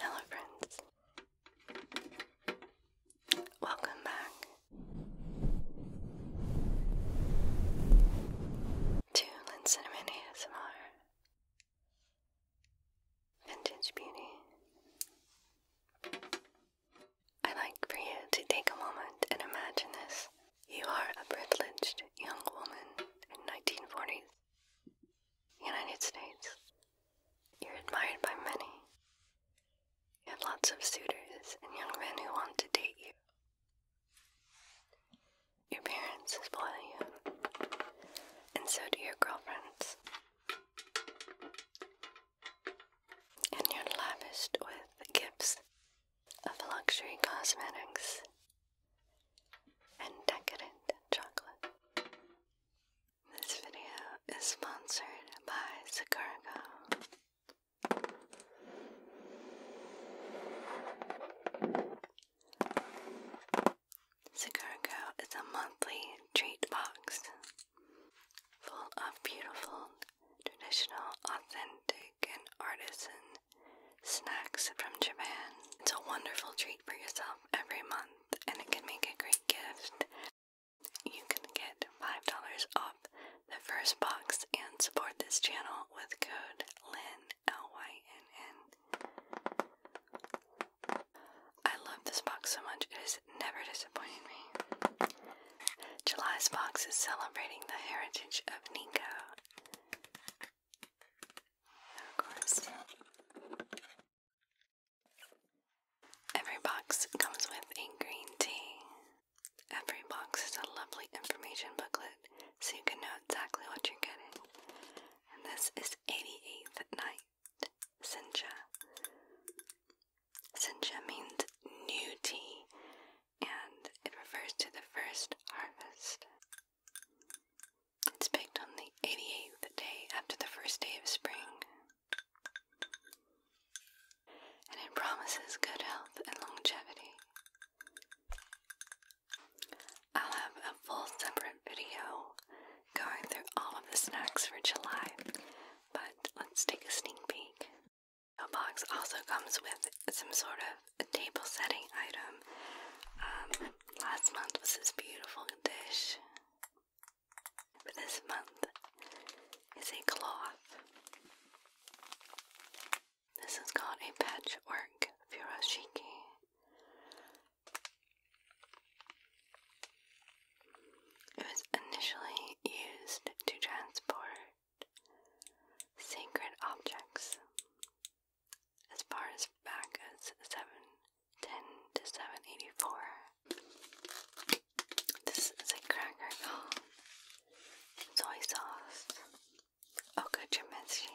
Hello, friends. Welcome back to Cinnamon ASMR Vintage Beauty. I'd like for you to take a moment and imagine this. You are a privileged young woman in 1940s United States. You're admired by many. You have lots of suitors and young men who want to date you. Your parents spoil you, and so do your girlfriends. And you're lavished with gifts of luxury cosmetics and decadent chocolate. This video is sponsored by Sicargo. Sicargo is a monthly treat box full of beautiful, traditional, authentic, and artisan snacks from Japan. It's a wonderful treat for yourself every month and it can make a great gift. You can get $5 off the first box and support this channel with code LYNN, L-Y-N-N. I love this box so much, it has never disappointed me. July's box is celebrating the heritage of Nico. Every box comes with a green tea. Every box is a lovely information booklet so you can know exactly what you're getting. And this is 88th Night Sincha. Sincha means new tea and it refers to the first harvest. It's picked on the 88th day after the first day of spring. And it promises good health and longevity. I'll have a full separate video going through all of the snacks for July, but let's take a sneak peek. The box also comes with some sort of table setting item. Um, last month was this beautiful dish this month is a cloth. This is called a patchwork furoshiki. It was initially used to transport sacred objects as far as back as 7 ten to seven eighty four. This is a cracker soy sauce. Okachimitsu.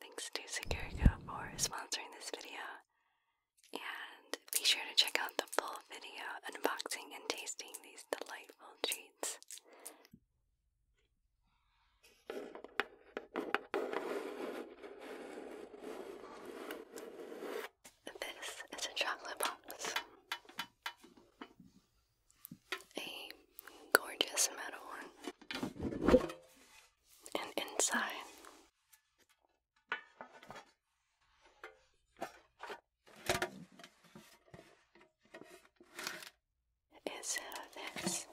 Thanks to Securica for sponsoring this video. And be sure to check out the full video unboxing and tasting these delightful treats. This is a chocolate box. A gorgeous metal one. And inside is this?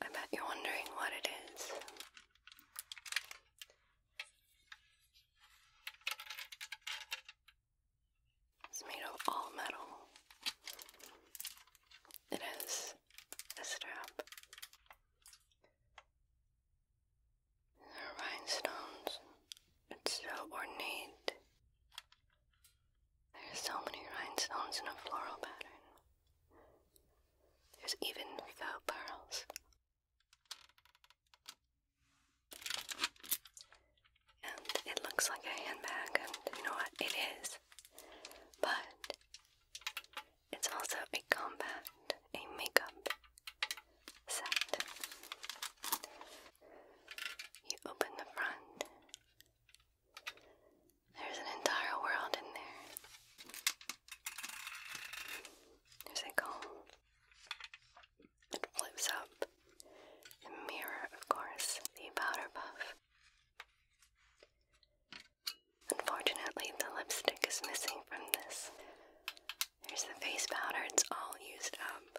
I bet you're wondering what it is. It's made of all metal. It has a strap. There are rhinestones. It's so ornate. There's so many rhinestones in a floral pattern. There's even faux pearls. And it looks like a handbag, and you know what? It is. But it's also a combat, a makeup set. You open the front, there's an entire world in there. There's a comb. It flips up. The mirror, of course, the powder puff. Unfortunately, the lipstick is missing from this. There's the face powder, it's all used up.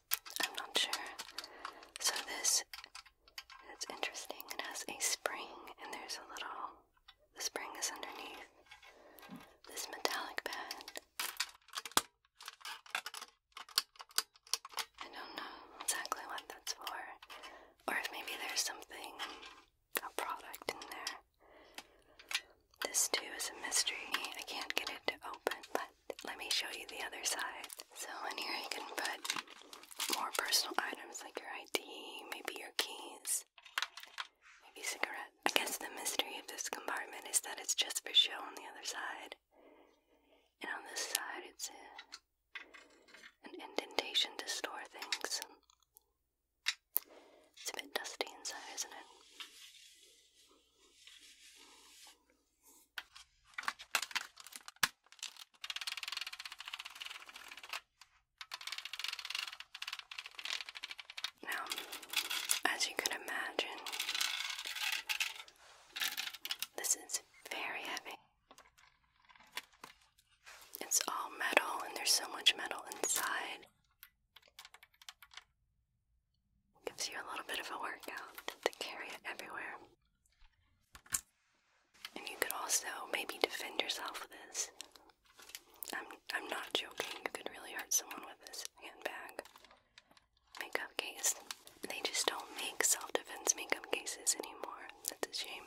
I'm not sure. So this it's interesting. It has a spring and there's a little the spring is underneath this metallic pad. I don't know exactly what that's for. Or if maybe there's something a product in there. This too is a mystery. I can't get it to open, but let me show you the other side. So in here you can put more personal items like your ID, maybe your keys, maybe cigarette. I guess the mystery of this compartment is that it's just for show on the other side. And on this side it's a, an indentation to store things. It's a bit dusty inside, isn't it? Now, as you can imagine, this is very heavy. It's all metal, and there's so much metal inside. Gives you a little bit of a workout to carry it everywhere. And you could also maybe defend yourself with this. I'm I'm not joking, you could really hurt someone with this handbag. Makeup case. They just don't make self-defense makeup cases anymore. That's a shame.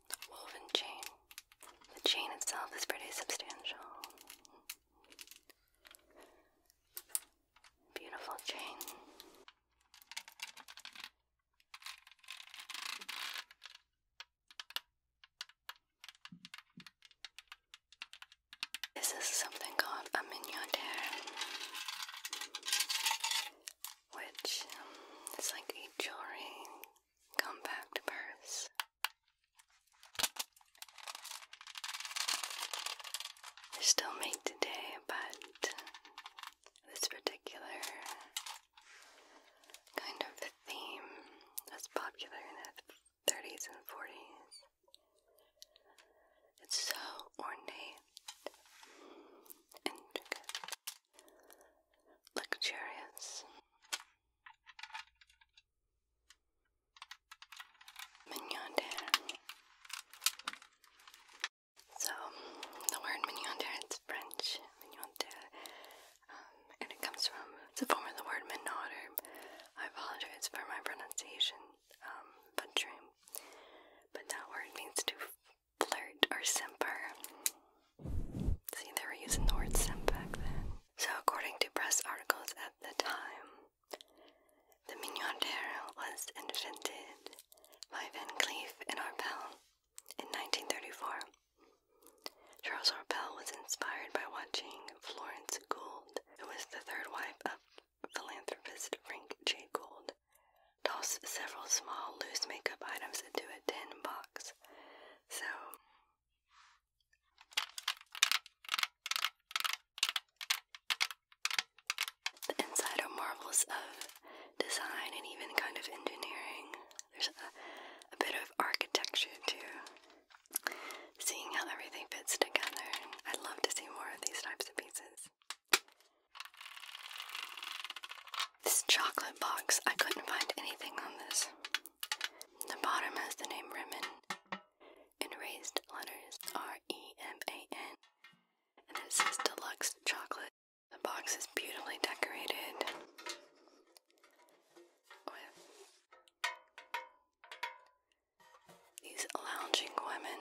woven chain. The chain itself is pretty substantial. Beautiful chain. This is something called a mignotaire, which um, is like a jewelry compact purse. They're still made today, but this particular kind of theme was popular in the 30s and 40s. It's so ornate, intricate, luxurious, Mignondaire. So, the word mignondaire, it's French, mignondaire, um, and it comes from, it's a form of the word minauder. I apologize for my pronunciation, um, but that word means to flirt or simper. See, they were using the back then. So, according to press articles at the time, the Mignardère was invented by Van Cleef and Arpels in 1934. Charles Arpels was inspired by watching Florence Gould, who was the third wife of philanthropist Frank J. Gould, toss several small loose makeup items into a tin box. So, the inside marvels of design and even kind of engineering. There's a bit of architecture too. Seeing how everything fits together. I'd love to see more of these types of pieces. This chocolate box, I couldn't find anything on this. The bottom has the name Remen in raised letters R E M A N, and it says deluxe chocolate. The box is beautifully decorated with these lounging women.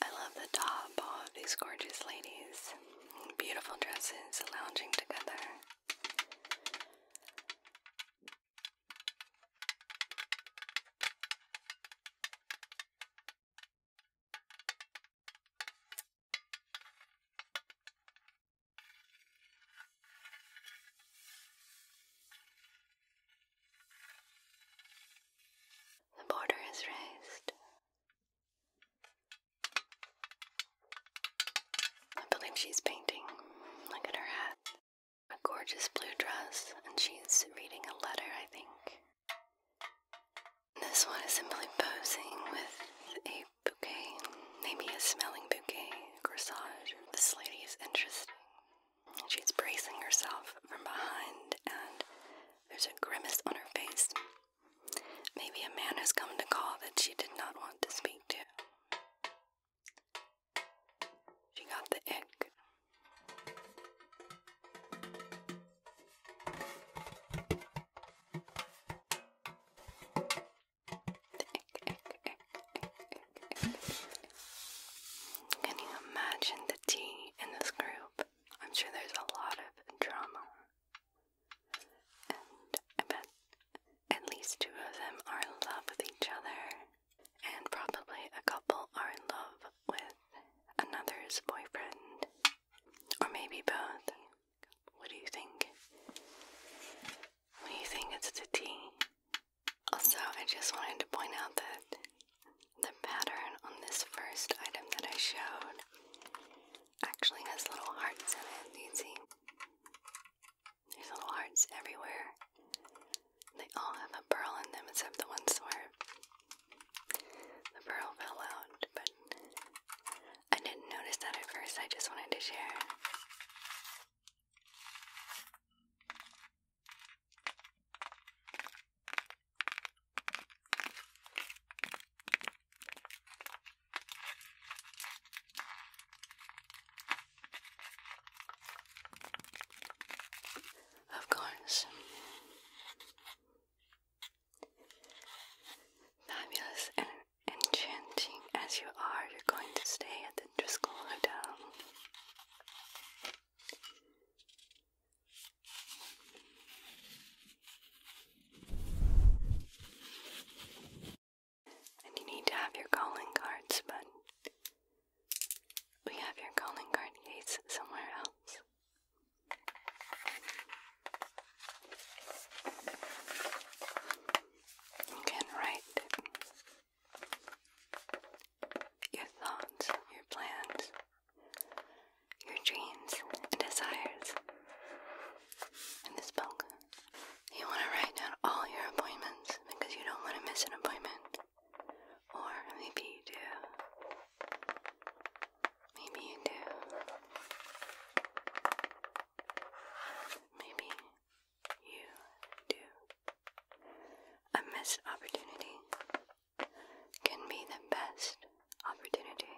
I love the top of these gorgeous ladies. Beautiful dresses lounging together. The border is raised. I believe she's painting. Look at her hat. A gorgeous blue dress, and she's reading a letter, I think. This one is simply posing with a bouquet, maybe a smelling bouquet, corsage. This lady is interesting. She's bracing herself from behind, and there's a grimace on her face. Maybe a man has come to call that she did not want to speak to. She got the egg. Can you imagine the tea in this group? I'm sure there's a lot of drama and I bet at least two of them are in love with each other, and probably a couple are in love with another's boyfriend, or maybe both. What do you think? What do you think it's a T? Also, I just wanted to point out that the pattern on this first item that I showed actually has little hearts in it, you see? There's little hearts everywhere. They all have a pearl in them except the ones where the pearl fell out, but I didn't notice that at first. I just wanted to share. Of course. Fabulous and enchanting as you are, you're going to stay at the Driscoll Hotel. And you need to have your calling cards, but we have your calling card case somewhere else. You can write your thoughts, your plans, your dreams and desires in this book. You want to write down all your appointments because you don't want to miss an appointment. Or maybe you do. Maybe you do. Maybe you do. A missed opportunity can be the best opportunity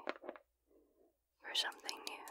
for something new.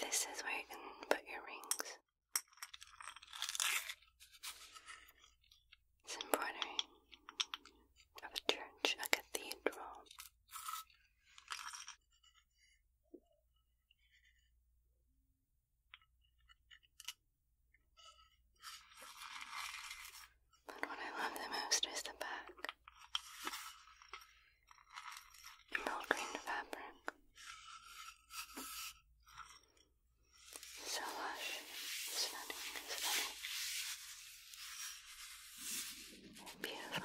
This is where you can put your rings. It's a church, a cathedral. But what I love the most is the back. Emerald green fabric. So lush, stunning, stunning. Beautiful.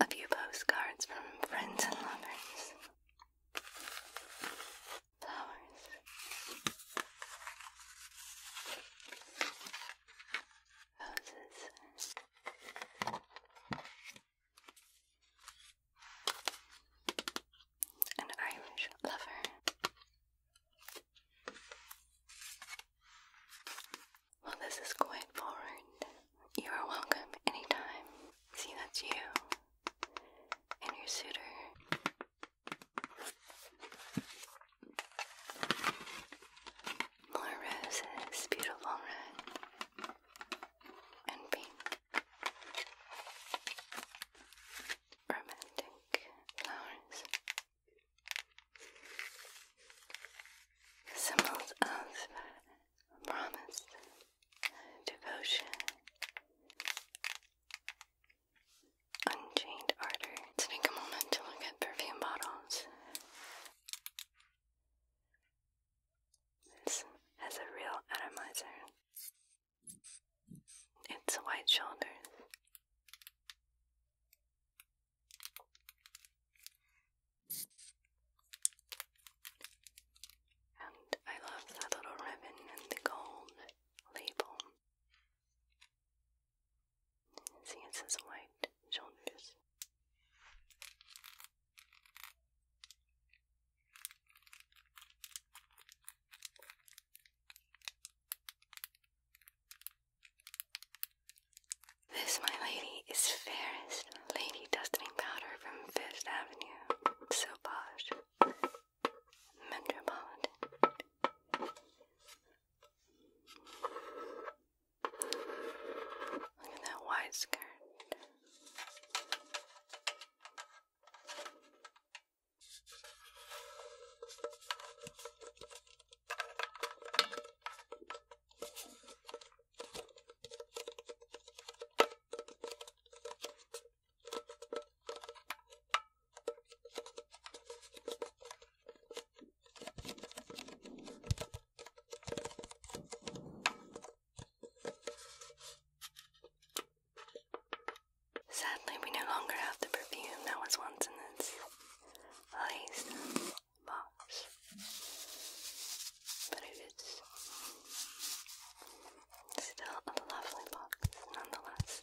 A few postcards from friends and lovers. Flowers roses. An Irish lover. Well, this is quite forward. You are welcome anytime. See, that's you and your suitor. More roses, beautiful red and pink. Romantic flowers. Symbols of promise, devotion, unchained ardor. take a moment to look at perfume bottles. This has a real atomizer. It's wide shoulders. And I love that little ribbon and the gold label. See, it white shoulders. This, my lady, is fairest lady dusting powder from Fifth Avenue. So posh. Metropolitan. Look at that wide skirt. Sadly, we no longer have the perfume that was once in this lace box, but it is still a lovely box nonetheless.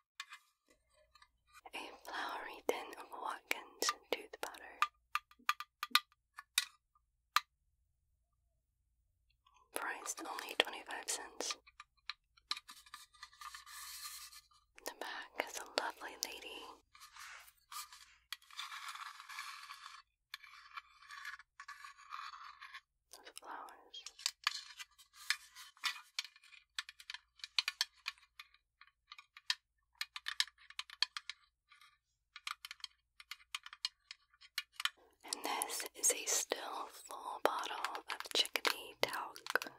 A flowery tin of Watkins tooth powder. Priced only 25 cents. The back is a lovely lady. Those flowers. And this is a still full bottle of chickadee talc.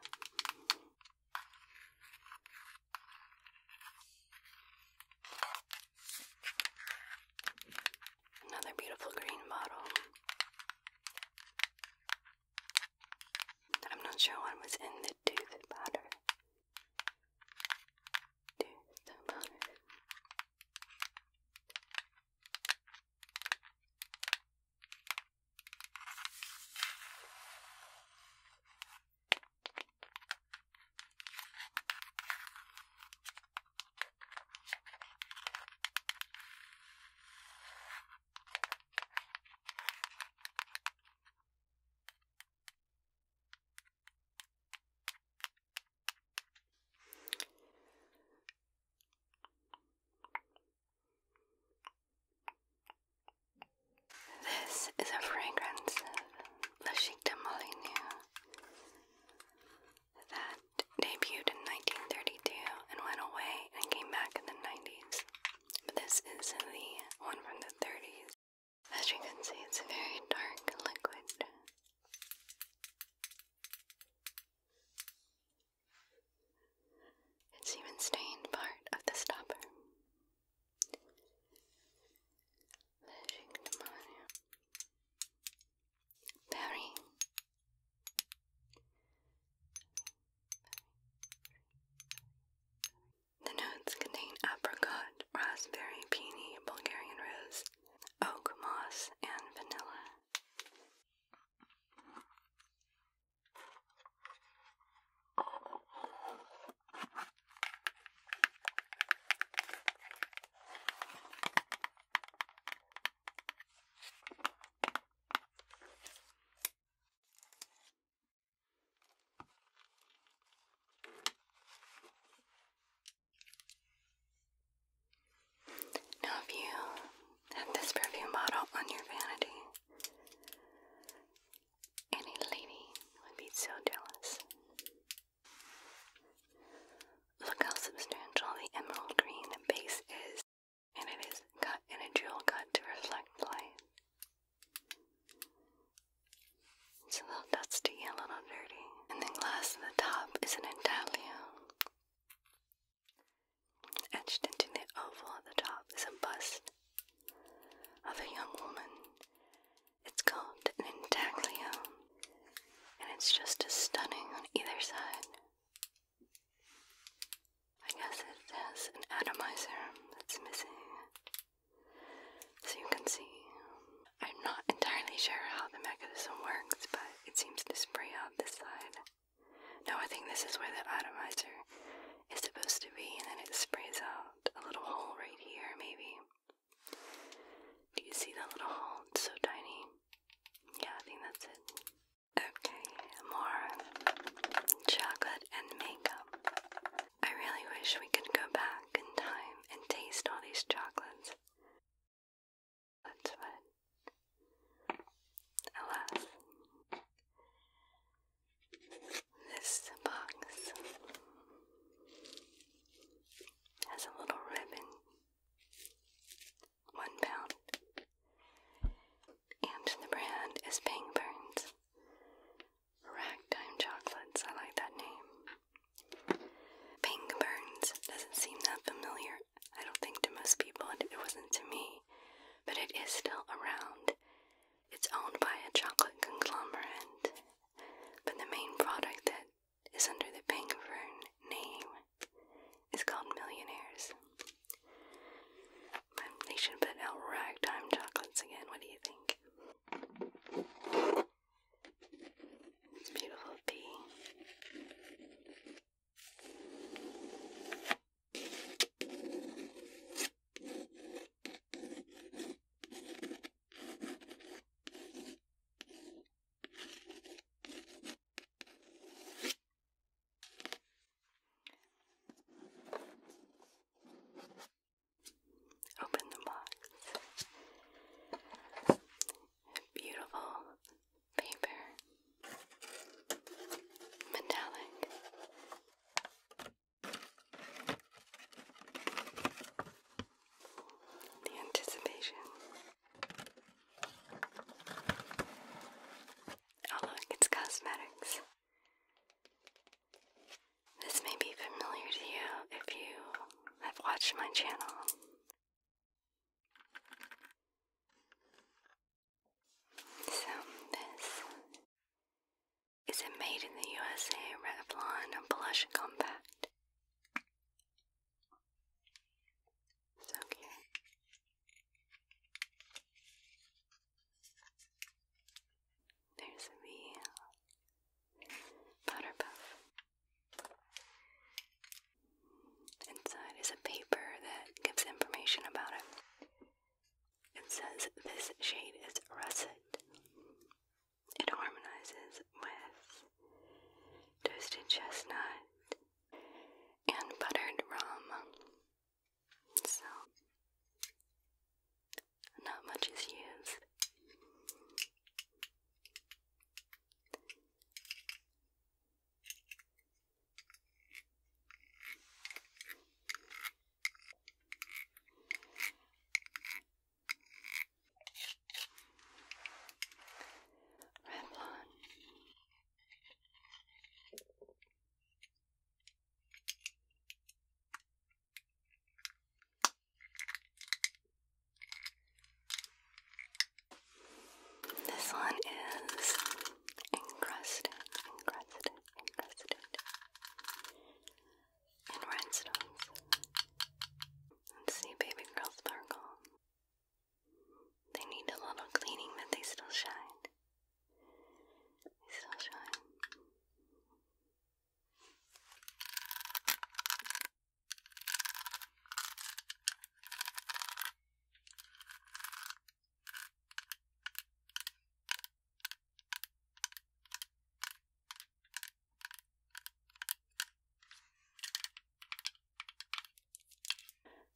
Another beautiful green bottle. I'm not sure what was in the tooth powder. Tooth powder. This is a fragrance of La that debuted in 1932 and went away and came back in the 90s. But this is the one from the 30s. As you can see, it's a very dark liquid. It's even stained part of the stopper. Berry. The notes contain apricot, raspberry, peony, Bulgarian rose, oak moss, and vanilla. Now, you have this perfume bottle on your vanity, any lady would be so jealous. Look how substantial the emerald green base is and it is cut in a jewel cut to reflect light. It's a little dusty, a little dirty, and the glass at the top is an intaglio. Etched into the oval at the top is a bust of a young woman. It's called an intaglio, and it's just as stunning on either side. I guess it has an atomizer that's missing. So you can see. I'm not entirely sure how the mechanism works, but it seems to spray out this side. No, I think this is where the atomizer is supposed to be, and then it sprays out a little hole right here, maybe. Do you see that little hole? It's so tiny. Yeah, I think that's it. Okay, more chocolate and maple. I really wish we could go back in time and taste all these chocolates. But alas, this box has a little ribbon, one pound, and the brand is Pang Burns. Ragtime Chocolates, I like that name. Pink Burns doesn't seem that familiar, I don't think to most people, and it wasn't to me, but it is still around. It's owned by a chocolate conglomerate, but the main product that is under the Pink name is called Millionaires. They should put out ragtime chocolates again. What do you think? It's beautiful bee. Open the box. Beautiful paper. Metallic. The anticipation. Oh, look, it's cosmetics. This may be familiar to you if you have watched my channel. So, this is a Made in the USA Revlon Blush Compact. So cute. There's me, Powderpuff. Inside is a paper that gives information about it. It says this shade is russet. It harmonizes with toasted chestnut and buttered rum so not much is used. Revlon this one is encrusted, encrusted, encrusted in rhinestones. Let's see, baby girl sparkle. They need a little cleaning, but they still shine.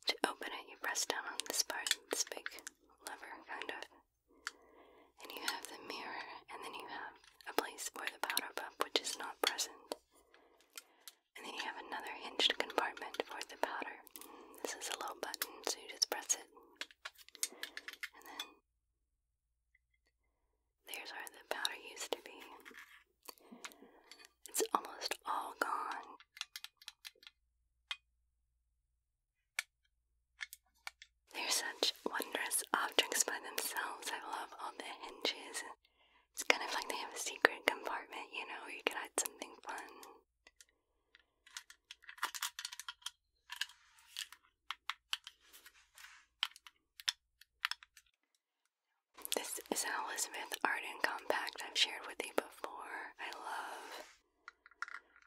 To open it, you press down on this part, this big lever, kind of, and you have the mirror, and then you have a place for the powder puff, which is not present. And then you have another hinged compartment for the powder. This is a little button, so you just press it. And then there's where the powder used to be. It's almost all gone. They're such wondrous objects by themselves. I love all the hinges. It's kind of like they have a secret compartment, you know, where you can hide something fun. This is an Elizabeth Arden compact I've shared with you before. I love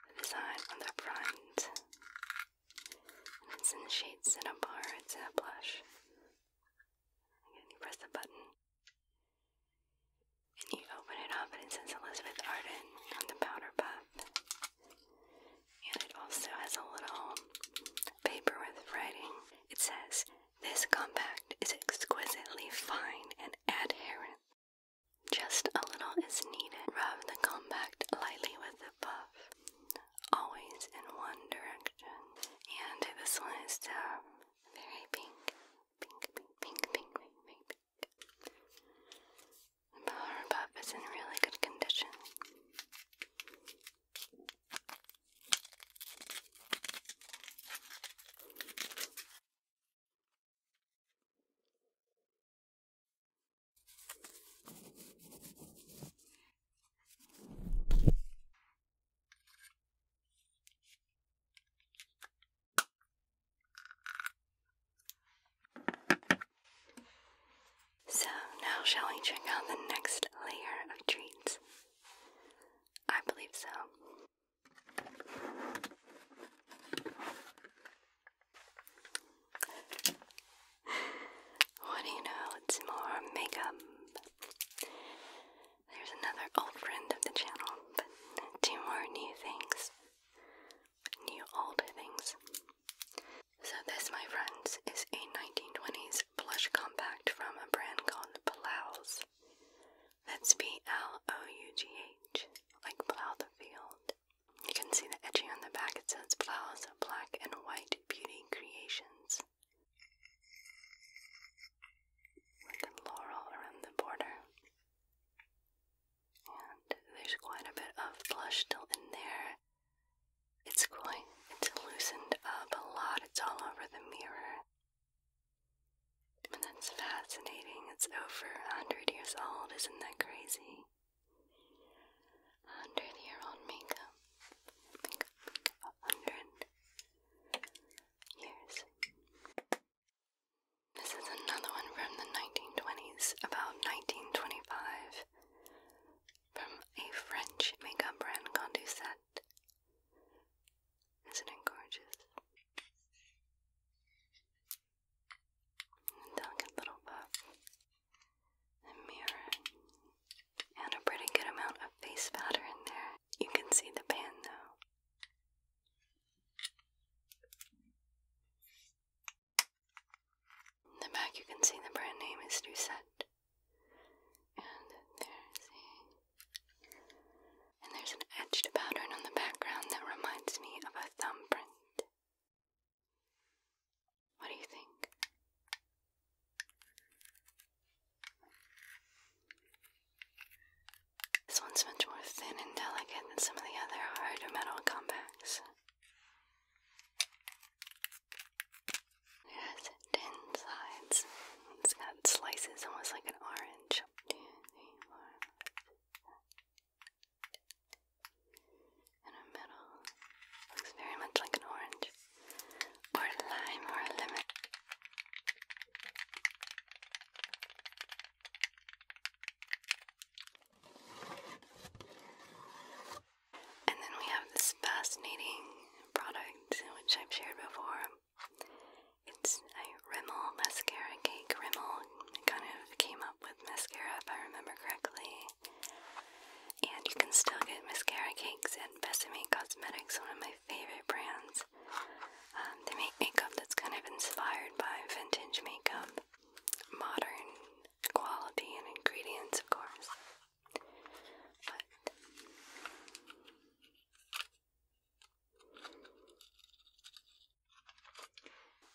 the design on the front. it's in the shades in a bar, it's in a blush. you press the button. And you open it up and it says Elizabeth Arden on the powder puff. And it also has a little paper with writing. It says, This compact is exquisitely fine and adherent just a little is needed. Rub the compact lightly with the buff, always in one direction. And this one is uh, very pink. Pink, pink, pink, pink, pink, pink, The power puff is in really good condition. So, now shall we check out the next layer of treats? I believe so what do you know? It's more makeup. There's another old friend of the channel, but two more new things. New older things. So, this, my friends, is a 1920s blush compact from a brand called Palouse. That's B L O U G H, like Plow the Field. You can see the etching on the back. It says Flowers Black and White Beauty Creations. With laurel around the border. And there's quite a bit of blush still in there. It's going, it's loosened up a lot. It's all over the mirror. And that's fascinating. It's over a hundred years old. Isn't that crazy? Under the year old makeup. A hundred years. This is another one from the 1920s, about 1925, from a French makeup brand, Condorcet. Isn't it gorgeous? Delicate little puff. A mirror. And a pretty good amount of face powder there. You can see the pan though. In the back you can see the brand name is Doucette. And there's an etched pattern on the background that reminds me of a thumbprint. What do you think? This one's much more thin and delicate than some of the other harder metal compacts. It has ten sides. It's got slices almost like an orange in the middle. Looks very much like an orange, or a lime, or a lemon. And then we have this fascinating product, which I've shared before. It's a Rimmel mascara cake. Rimmel kind of came up with mascara, if I remember correctly. And you can still get mascara cakes at Besame Cosmetics, one of my favorite brands. Um, they make makeup that's kind of inspired by vintage makeup, modern quality and ingredients, of course.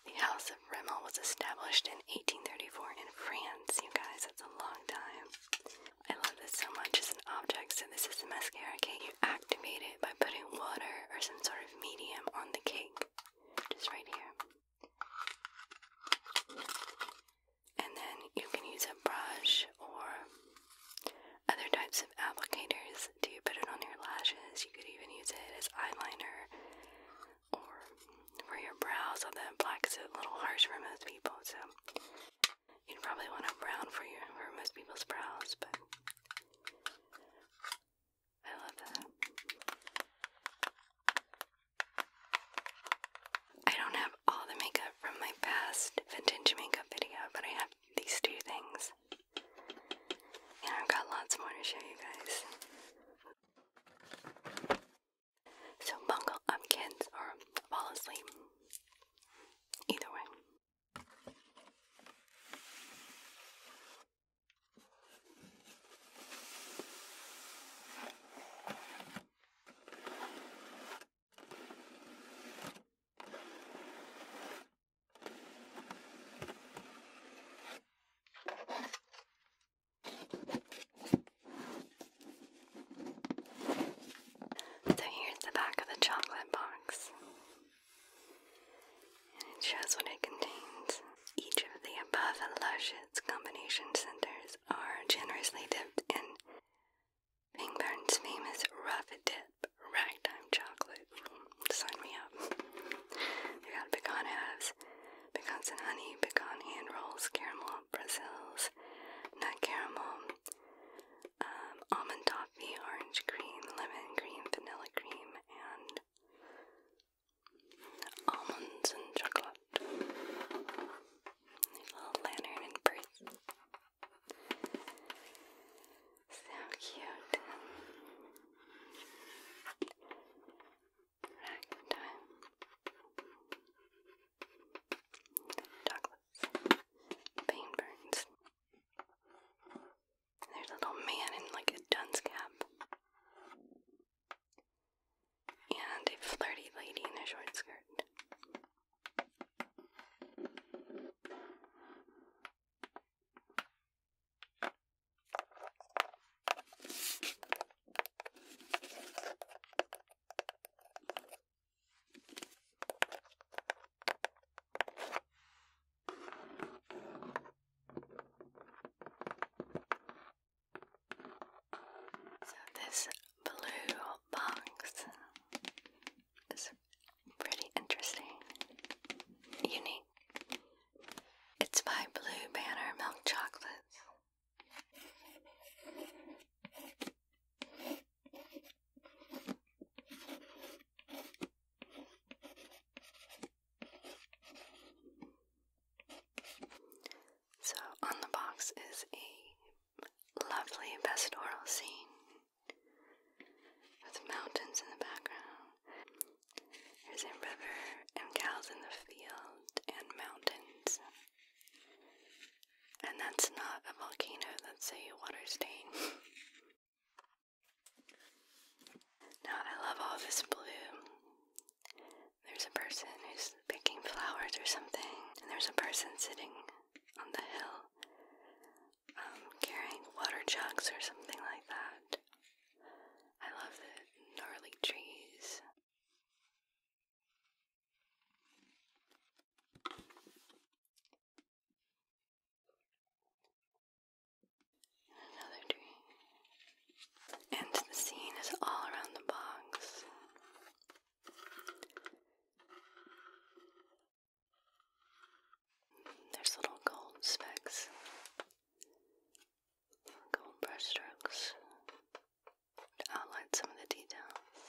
The House of Rimmel was established in 1834 in France. You guys, that's a long time. I love this so much. It's an object, so this is the mascara cake. You activate it by putting water or some sort of medium on the cake, just right here. And then you can use a brush or other types of applicators to put it on your lashes. You could even use it as eyeliner or for your brows, although black's a little harsh for most people, so you'd probably want a brown for your for most people's brows, but I love that. I don't have all the makeup from my past vintage makeup video, but I have these two things. And I've got lots more to show you guys. So bungle up kids or fall asleep. Either way. So here's the back of the chocolate box. And it shows what it contains. Each of the above and luscious combination centers are generously dipped in Pingburn's famous rough dip ragtime chocolate. Sign me up. You got pecan pecans and honey, pecan hand rolls, caramel Brazils, nut caramel, um, almond toffee, orange cream, lemon cream, vanilla cream, and almonds and chocolate. Little lantern and purse. So cute. Good time. Douglas. Pain burns. There's a little man in like a dunce cap. And a flirty lady in a short skirt. So this blue box is pretty interesting, unique. It's by Blue Banner Milk Chocolates. So on the box is a lovely pastoral scene with mountains in the background. There's a river and cows in the field and mountains. And that's not a volcano, that's a water stain. now, I love all this blue. There's a person who's picking flowers or something, and there's a person sitting on the hill um, carrying water jugs or something like that. I love the gnarly trees. Another tree. And the scene is all around the bogs. There's little gold specks, gold brushstrokes outline some of the details.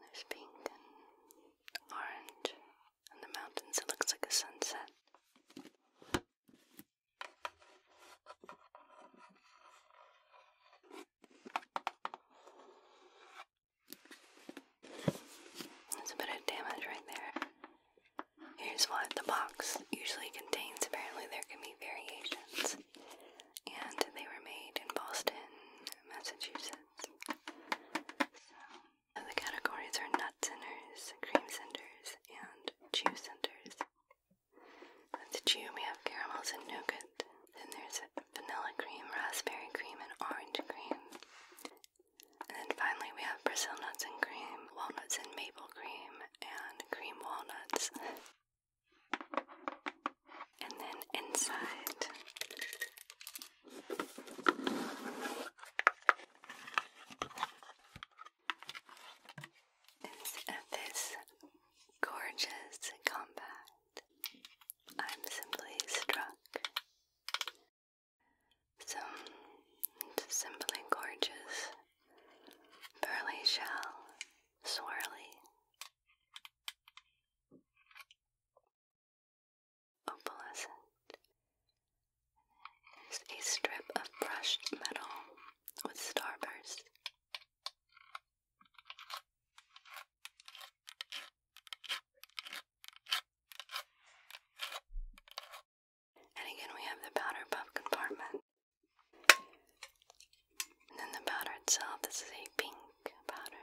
There's pink and orange, and the mountains, it looks like a sunset. There's a bit of damage right there. Here's what the box usually contains. Apparently, there can be variations. And they were made in Boston, Massachusetts. So, the categories are nut centers, cream centers, and chew centers. With the chew, we have caramels and nougat. Then there's vanilla cream, raspberry cream, and orange cream. And then finally, we have Brazil nuts and cream, um, walnuts and maple cream and cream walnuts. and then inside is uh, this gorgeous compact. I'm simply struck. Some simply gorgeous Burly shell, swirly. Opalescent is a strip of brushed metal with starburst. And again, we have the powder puff compartment. then the powder itself, this is a pink powder.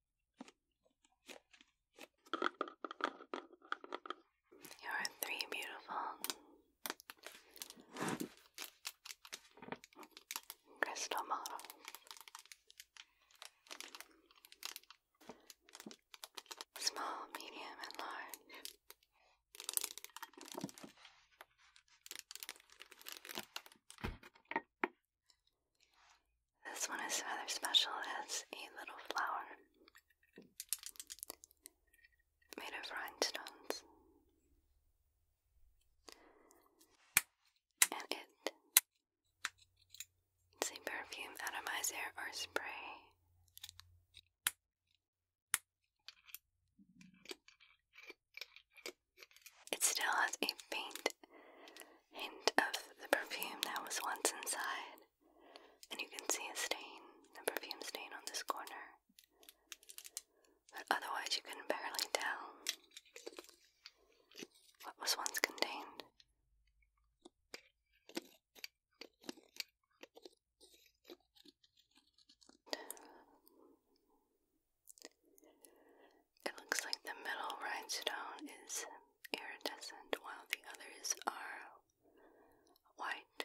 You are three beautiful crystal models. Small, medium, and large. This one is rather special. It has a little flower made of rhinestones. And it's a perfume atomizer or spray. It still has a faint hint of the perfume that was once inside. And you can see a stain, a perfume stain on this corner. But otherwise, you can barely tell what was once contained. It looks like the middle rhinestone is iridescent while the others are white.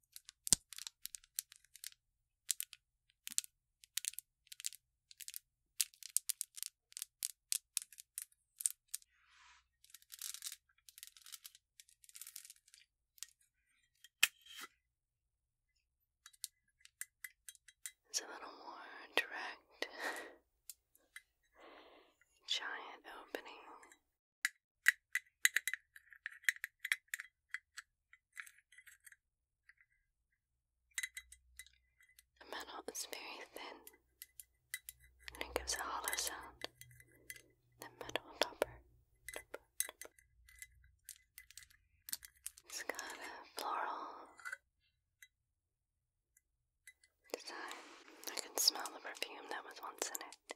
It's a little more direct. Giant opening the metal is very thin and it gives a hollow sound. The metal topper. It's got a floral design. I can smell the perfume that was once in it.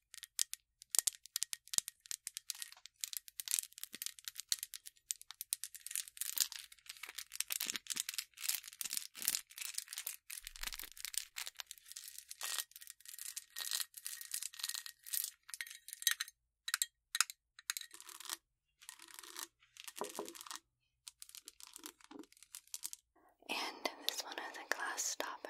And this one has a glass stopper.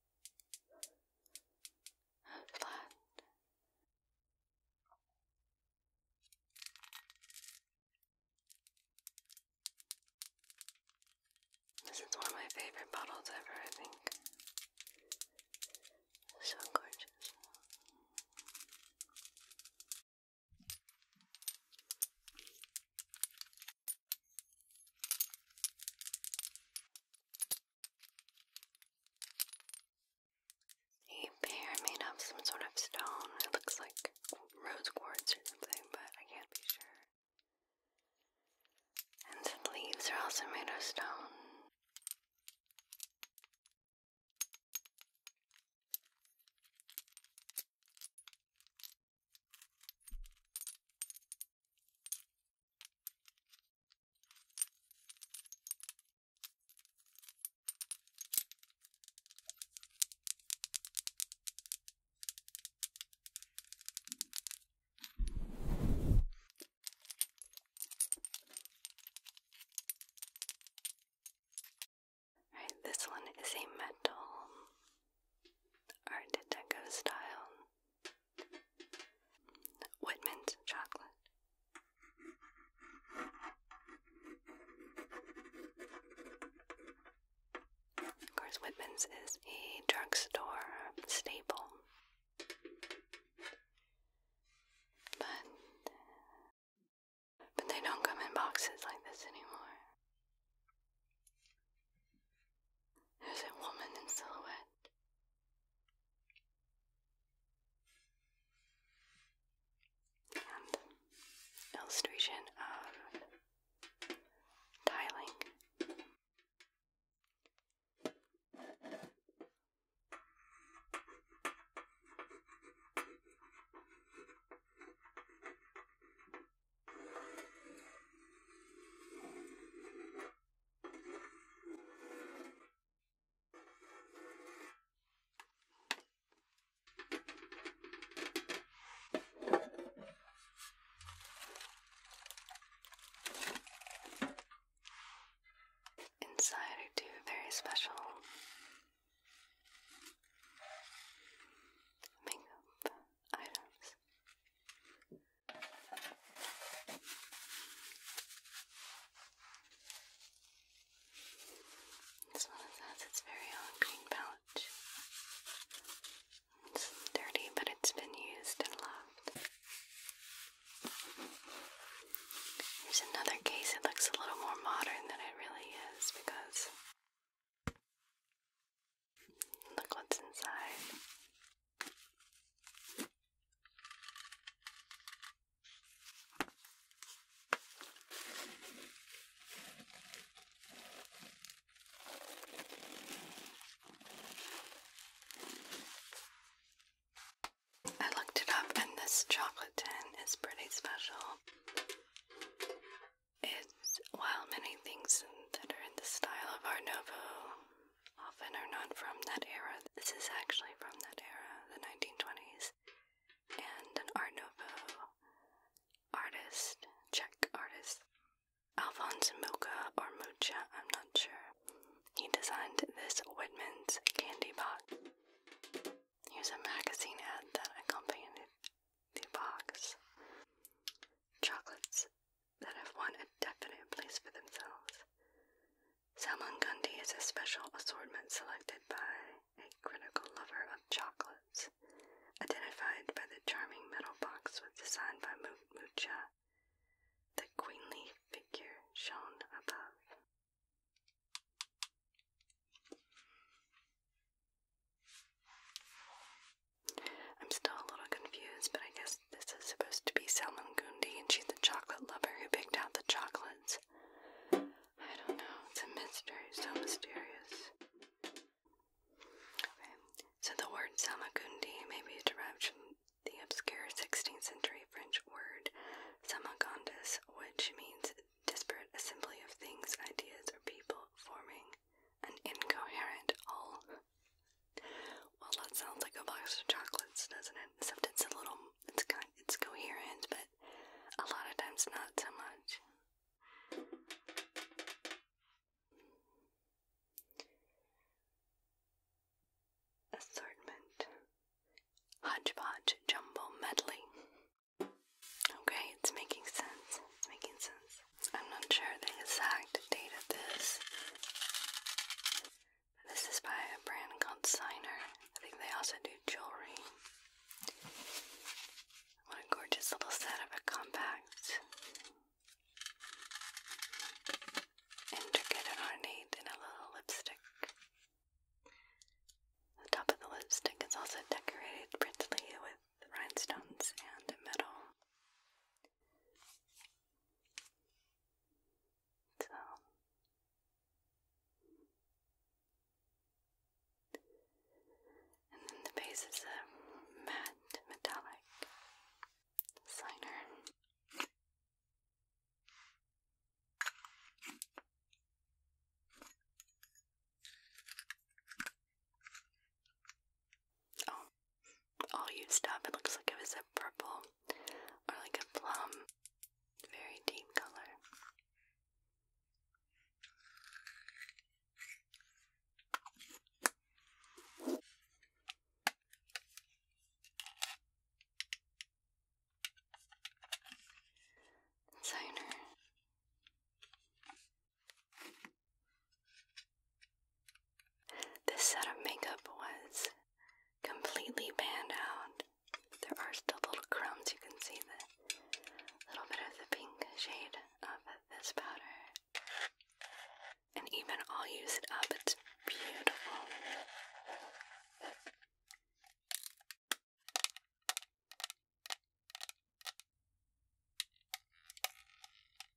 of blood. This is one of my favorite bottles ever, I think. So gorgeous. A bear made of some sort of stone. It looks like rose quartz or something, but I can't be sure. And the leaves are also made of stone this one is a metal Art Deco style. Whitman's chocolate. Of course, Whitman's is a drugstore staple. But, but they don't come in boxes like this anymore. There's a woman in silhouette. illustration of tiling. Inside are two very special makeup items. This one has its very old green pouch. It's dirty, but it's been used and loved. Here's another case. It looks a little more modern than it really is because Look what's inside. I looked it up, and this chocolate tin is pretty special. It's while many things that are in the style of Art Nouveau often are not from that era. This is actually from that era, the 1920s. And an Art Nouveau artist, Czech artist, Alphonse Mucha or Mucha, I'm not sure. He designed this Whitman's candy box. Here's a magazine ad that accompanied the box. Chocolates that have won a definite place for themselves. Salmon Gundy is a special assortment selected by a critical lover of chocolates, identified by the charming metal box was designed by Mucha, the queenly figure shown above. I'm still a little confused, but I guess this is supposed to be Salmon Gundi, and she's the chocolate lover who picked out the chocolates. I don't know, it's a mystery, so mysterious. Okay, so the word Samagundi may be derived from the obscure 16th century French word Samagondis, which means disparate assembly of things, ideas, or people forming an incoherent whole. Well, that sounds like a box of chocolates, doesn't it? Except it's a little, it's kind, it's coherent, but a lot of times not so much. Assortment. Hodgepodge jumble medley. Okay, it's making sense. It's making sense. I'm not sure the exact exact date this. This is by a brand called Signer. I think they also do jewelry. What a gorgeous little set of a compact, intricate ornate, and a little lipstick. The top of the lipstick is also decorated prettily with rhinestones and metal. So and then the base is a matte metallic liner. Oh, all used up. It looks like it was a purple or like a plum. Very deep color. Designer. This set of makeup was completely banded out. There are still little crumbs. You can see the little bit of the pink shade of this powder. And even all used up, it's beautiful.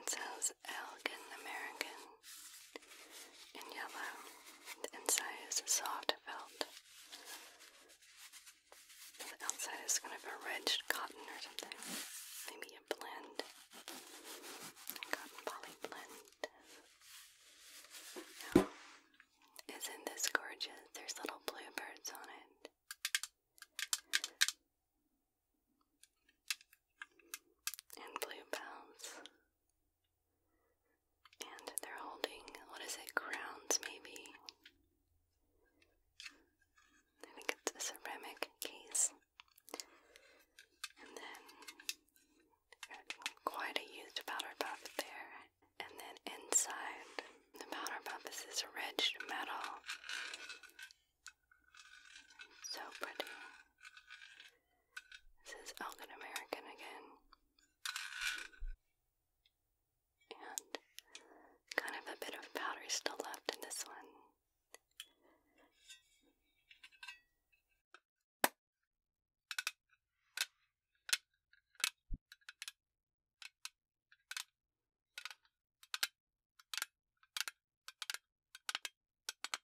It sounds is American in yellow. The inside is a soft felt. The outside is kind of a ridged cotton or something. Maybe a blend. Cotton poly blend. isn't this gorgeous? There's little bluebirds on it and bluebells. And they're holding, what is it, crowns maybe? I think it's a ceramic case. And then quite a used powder puff there. And then inside the powder puff is this ridged metal. So pretty. This is Elgin American again. And kind of a bit of powder still left in this one.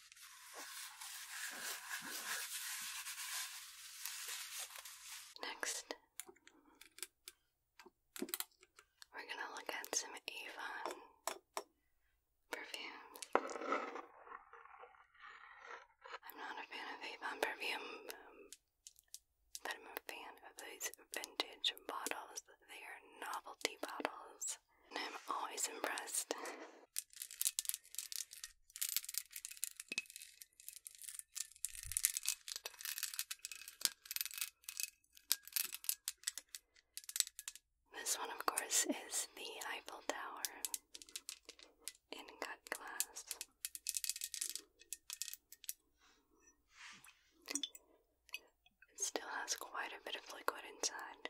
Next, we're going to look at some Avon perfumes. I'm not a fan of Avon perfume, um, but I'm a fan of these vintage bottles. They are novelty bottles, and I'm always impressed this one, of course, is the Eiffel Tower in cut glass. It still has quite a bit of liquid inside.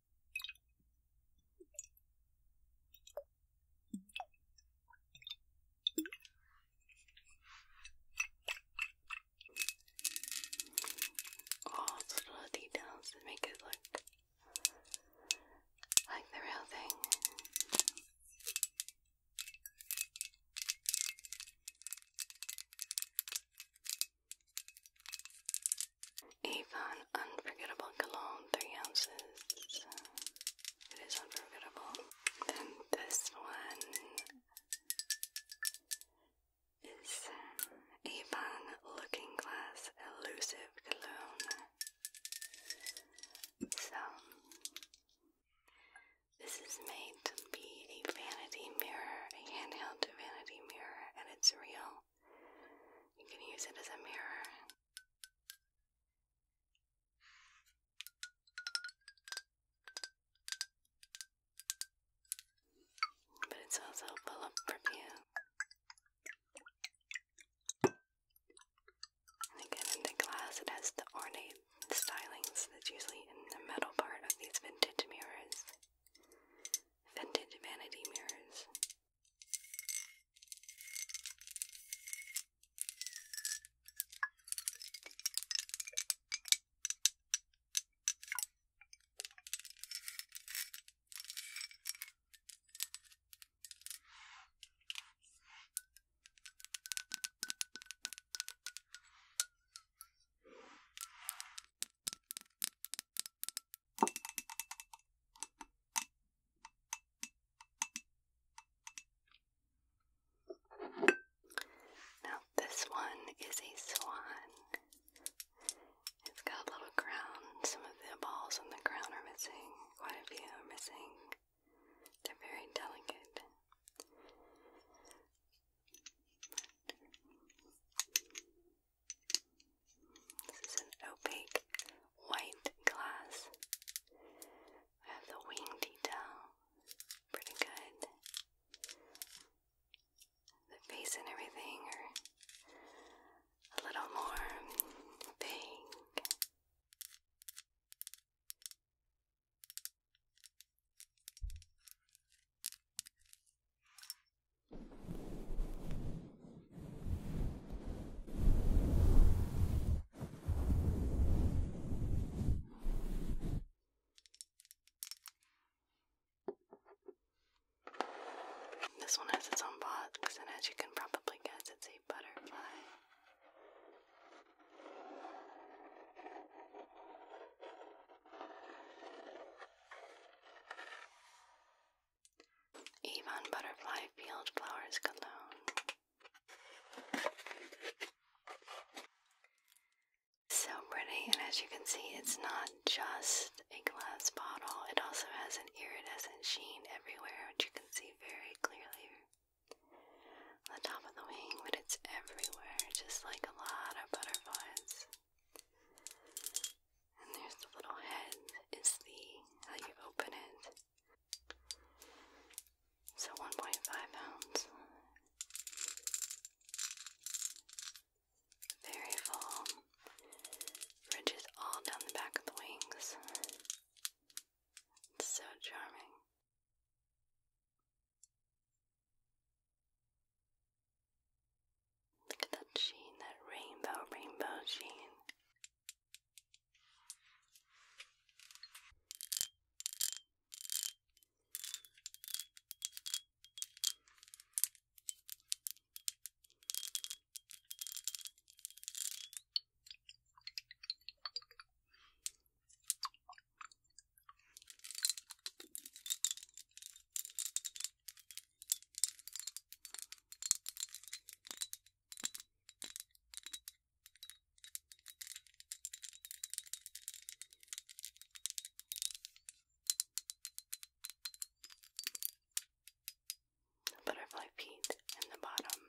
All oh, the little details that make it look like the real thing. Avon Unforgettable Cologne, 3 ounces. It is unforgettable. Then this one is Avon Looking Glass Elusive Cologne. So, this is made to be a vanity mirror, a handheld vanity mirror, and it's real. You can use it as a mirror. But it's also full of perfume. And again, the glass, it has the ornate stylings that's usually in the metal part of these vintage mirrors vintage vanity mirrors. Now, this one is a swan. It's got a little crown. Some of the balls on the crown are missing. Quite a few are missing. They're very delicate. This is an opaque white glass. I have the wing detail, pretty good. The face and everything are a little more vague. This one has its own box, and as you can probably guess, it's a butterfly. Even butterfly field flowers cologne. So pretty, and as you can see, it's not just a glass bottle, it also has an iridescent sheen everywhere, which you can see very clearly on the top of the wing, but it's everywhere, just like a lot of butterflies. And there's the little head is the how you open it. So 1.5 ounce. Very full. Ridges all down the back of the wings. so charming. Look at that sheen, that rainbow, rainbow sheen butterfly feet in the bottom.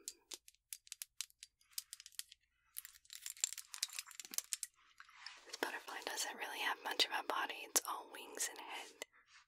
butterfly doesn't really have much of a body, it's all wings and head.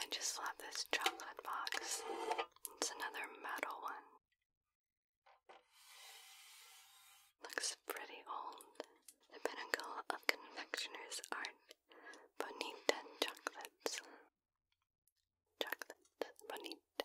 I just love this chocolate box. It's another metal one. Looks pretty old. The pinnacle of confectioner's art. Bonita chocolates. Chocolate. Bonita.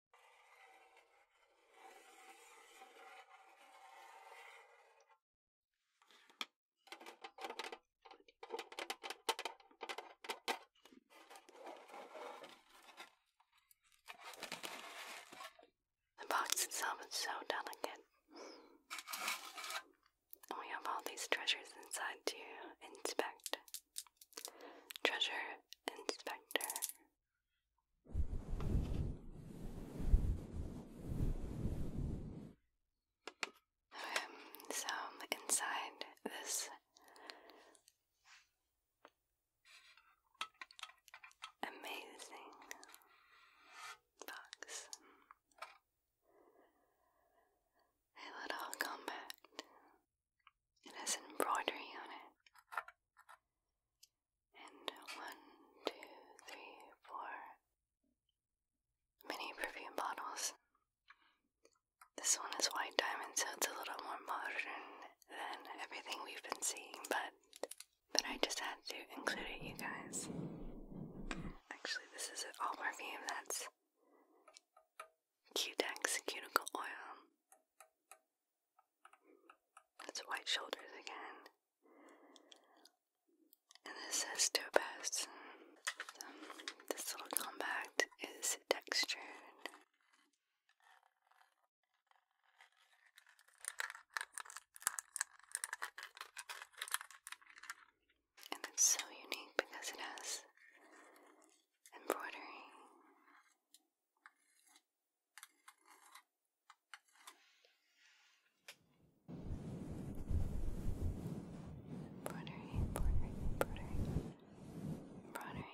The box itself is so delicate. And we have all these treasures inside to inspect. Treasure Inspector so inside this amazing box, a little compact. It has embroidery on it and one, two, three, four mini perfume bottles. This one is white diamond, so it's a little more modern than everything we've been seeing, but but I just had to include it, you guys. Actually, this is an all perfume that's Cutex cuticle oil. It's white shoulders again. And this says toe this little compact is textured. And it's so unique because it has embroidery Embroidery, embroidery, embroidery, embroidery.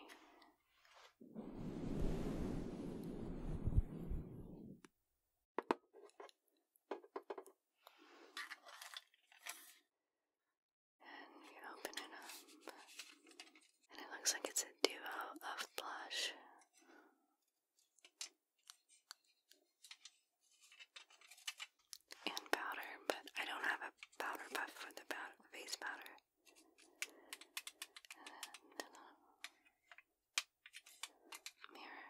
And you open it up, and it looks like it's a duo of blush and powder, but I don't have a powder puff for the face powder. Uh, mirror.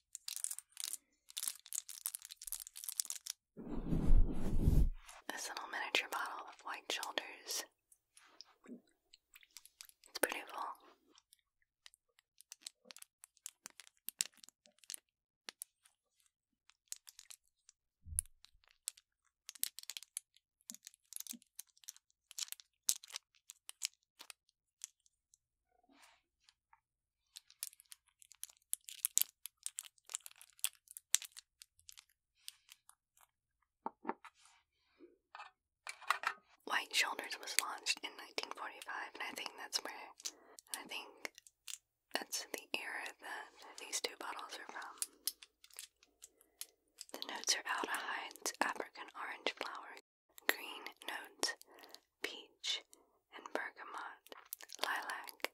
This little miniature bottle of white shoulders. It's beautiful. White Shoulders was launched in 1945, and I think that's where, I think that's the era that these two bottles are from. The notes are aldehydes, African orange flowers green notes, peach and bergamot, lilac,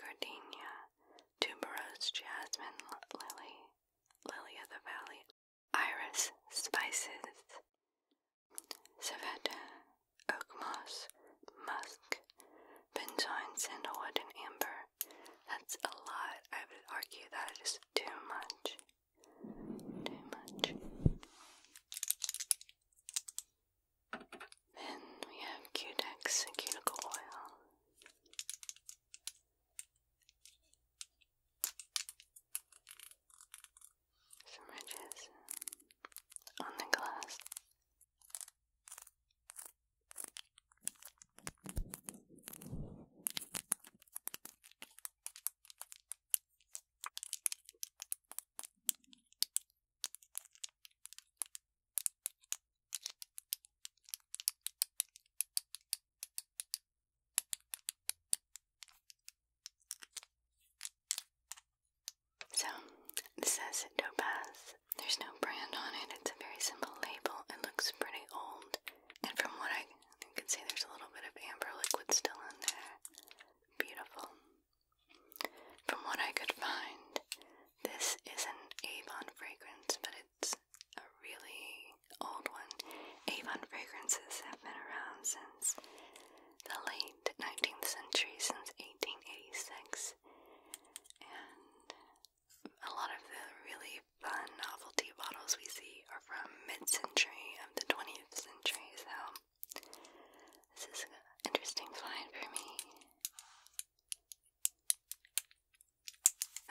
gardenia, tuberose, jasmine, lily, lily of the valley, iris, spices, saveta, oak moss, musk, benzoin, sandalwood, and amber. That's a lot. I would argue that is too much too much. Then we have Cutex cuticle oil. Some ridges on the glass. So, this says Topaz. There's no brand on it, it's a very simple label. It looks pretty old. And from what I, I can see, there's a little bit of amber liquid still in there beautiful. From what I could find, this is an Avon fragrance, but it's a really old one. Avon fragrances have been around since the late 19th century, since 1886, and a lot of the really fun novelty bottles we see are from mid century of the 20th century, so this is an interesting find for me.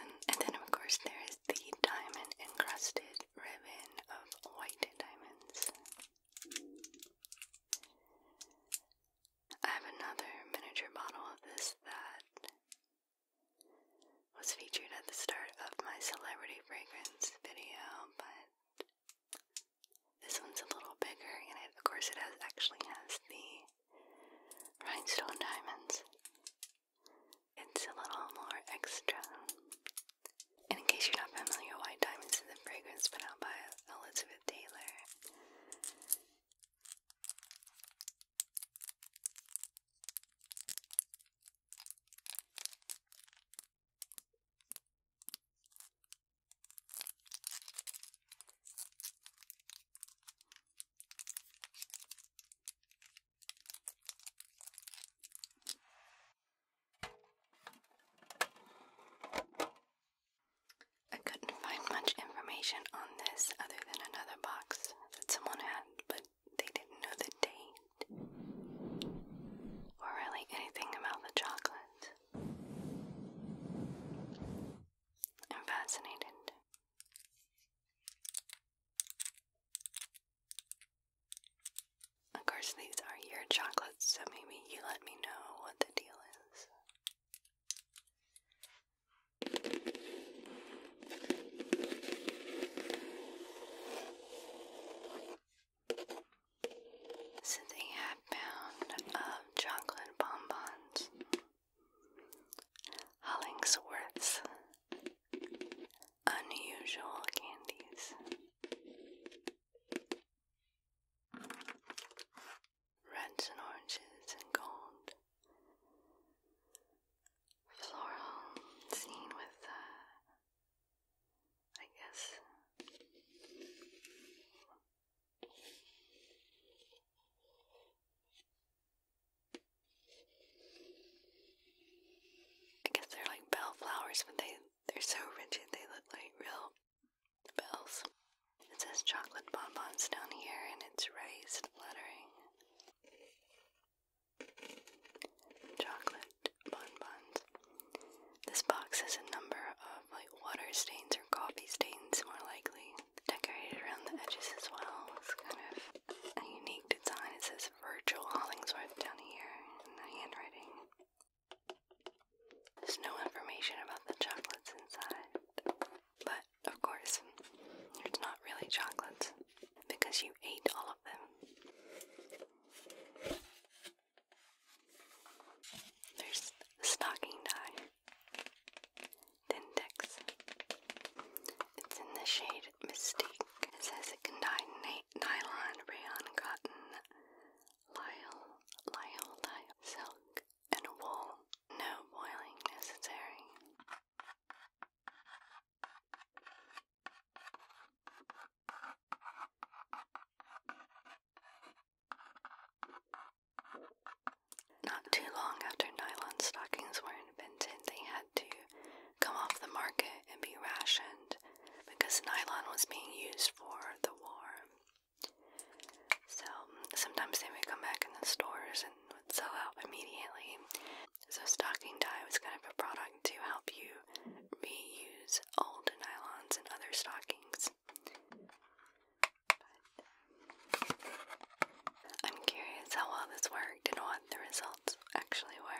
And, then, of course, there is the diamond encrusted ribbon of white diamonds. I have another miniature bottle of this that was featured at the start of my celebrity fragrance video, but this one's a little bigger, and of course, it actually has the rhinestone diamonds. It's a little more extra. And in case you're not familiar, White Diamonds is a fragrance put out by Elizabeth Taylor. I couldn't find much information on this other than another box that someone had, but they didn't know the date or really anything about the chocolate. fascinated. Of course, these are your chocolates, so maybe you let me know what the deal is. Since a half pound of chocolate bonbons, Hollingsworth's unusual candies, reds and oranges and gold, floral scene with uh, I guess. I guess they're like bell flowers, but they they're so rigid they look like real bells. It says chocolate bonbons down here and it's raised lettering chocolate bun This box has a number of like water stains or coffee stains, more likely, decorated around the edges as well. It's kind of a unique design. It says Virgil Hollingsworth down here in handwriting. There's no information about the chocolates inside, but of course, it's not really chocolates because you ate all of them. There's stocking dye. Dentex. It's in the shade Mystique. It says it can dye nylon, rayon, cotton, lyal, lyal, lyal, silk, and wool. No boiling necessary. Not too long after nylon stockings were invented, they had to come off the market and be rationed because nylon was being used for the war. So sometimes they would come back in the stores and would sell out immediately. So, stocking dye was kind of a product to help you reuse old nylons and other stockings. Um, I'm curious how well this worked and what the results actually were.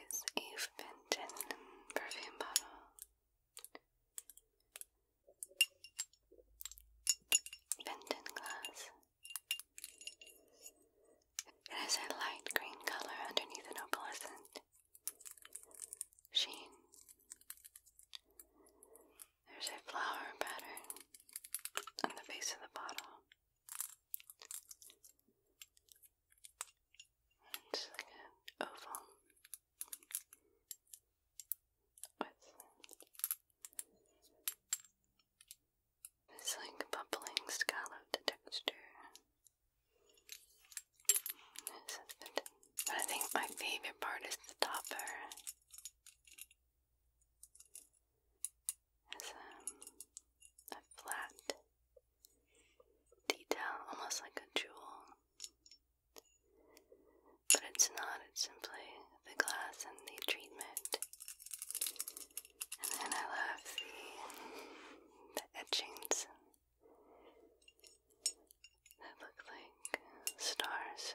It's Eve Benton perfume bottle. Benton glass. It has a light green color underneath an opalescent sheen. There's a flower pattern on the base of the bottle. It's like an oval with this like bubbling scalloped texture. But I think my favorite part is the topper. It's um, a flat detail, almost like a jewel. But it's not, it's simply the glass and the treatment. And then I love the, the etchings that look like stars.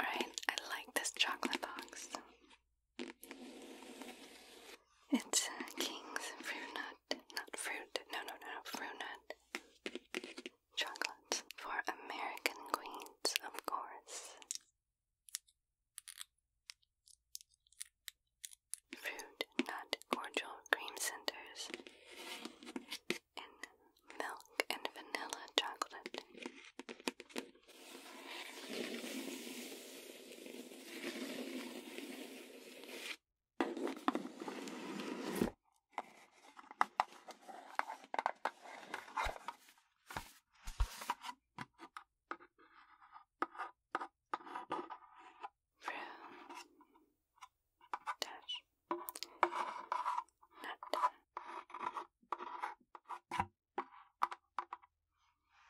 Alright, I like this chocolate box. It's a uh, King's Fruit Nut, not fruit, no, no, no, Fruit Nut chocolate for American queens, of course. Fruit nut cordial cream centers in milk and vanilla chocolate dash nut.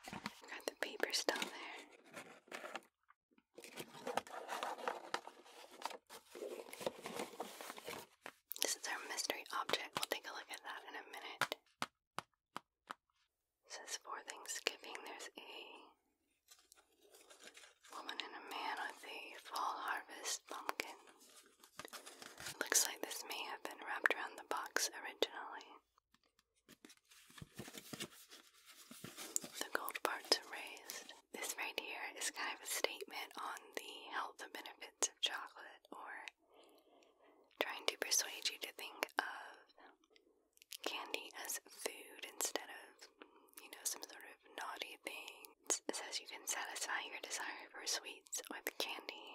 Got the paper still there. This is our mystery object. We'll take a look at that in a minute. says for Thanksgiving, there's a woman and a man with a fall harvest pumpkin. Looks like this may have been wrapped around the box originally. The gold parts are this right here is kind of a statement on the health benefits of chocolate or trying to persuade you to think of candy as food instead of, you know, some sort of naughty thing. It says you can satisfy your desire for sweets with candy.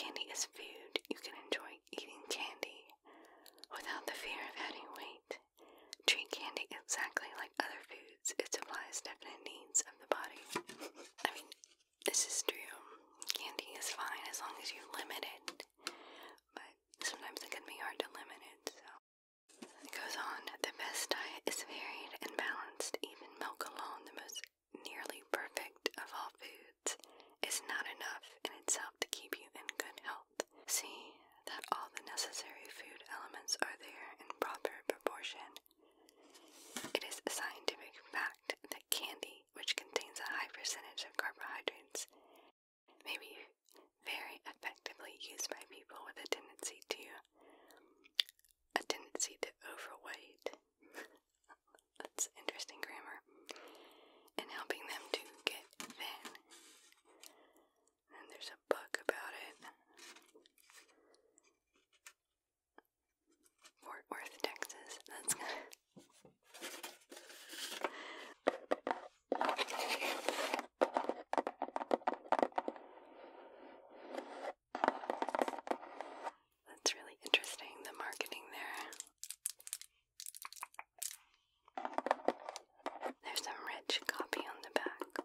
Candy is food. You can enjoy eating candy without the fear of adding weight. Treat candy exactly like other food includes it supplies definite needs of the body. I mean, this is true. Candy is fine as long as you limit it, but sometimes it can be hard to limit it, so. It goes on, the best diet is varied and balanced. Even milk alone, the most nearly perfect of all foods, is not enough in itself to keep you in good health. See that all the necessary food elements are there in proper proportion it is a scientific fact that candy, which contains a high percentage of carbohydrates, may be very effectively used by people with a tendency to a tendency to overweight. That's interesting grammar. And helping them to get thin and there's a book about it. Fort Worth, Texas. That's That's really interesting, the marketing there. There's some rich copy on the back.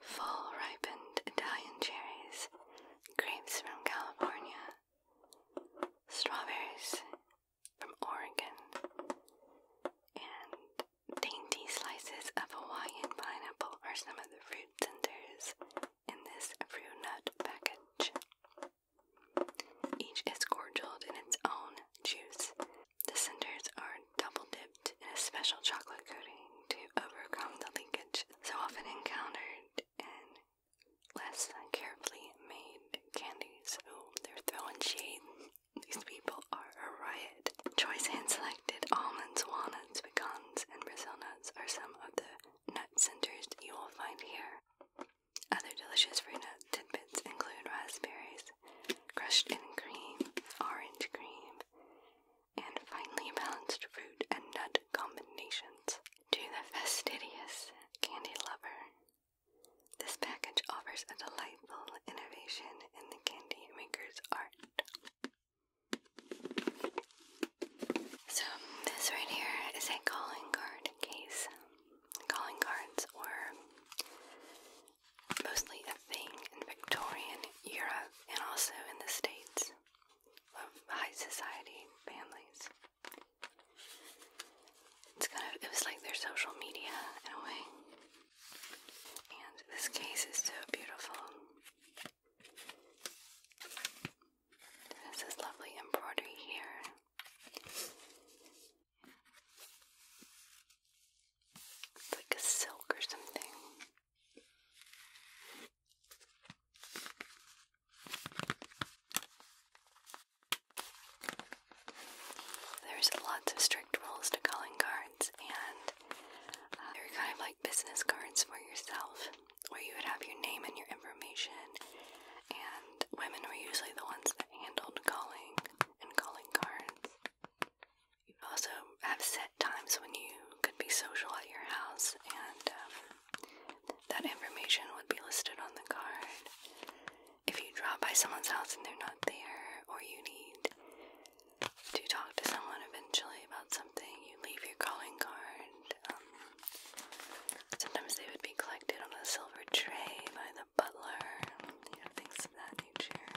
Full ripened Italian cherries, grapes from California, strawberries from Oregon, and dainty slices of Hawaiian pineapple are some of the fruit centers in this fruit nut package. Each is cordialed in its own juice the centers are double dipped in a special chocolate coating to overcome the leakage so often encountered in less carefully made candies. Oh, they're throwing shade. These people are a riot. Choice hand selected almonds, walnuts, pecans, and Brazil nuts are some of the nut centers you will find here. Other delicious fruit nut tidbits include raspberries, crushed and cream, orange cream, and finely balanced fruit and nut combinations. To the fastidious candy lover, this package offers a delightful innovation in the candy maker's art. So, this right here is a calling card case. Calling cards were mostly a thing in Victorian Europe and also in the States of high society families. It's kind of, it was like their social media in a way. And this case is so beautiful. There's this lovely embroidery here. It's like a silk or something. There's lots of strict rules to calling cards, and uh, they're kind of like business cards for yourself, where you would have your name and your information. And women were usually the ones that handled calling and calling cards. You also have set times when you could be social at your house, and um, that information would be listed on the card. If you drop by someone's house and they're not there, or you need to talk to someone eventually about something, you leave your calling card. Um, sometimes they would be collected on a silver tray by the butler, things of that nature.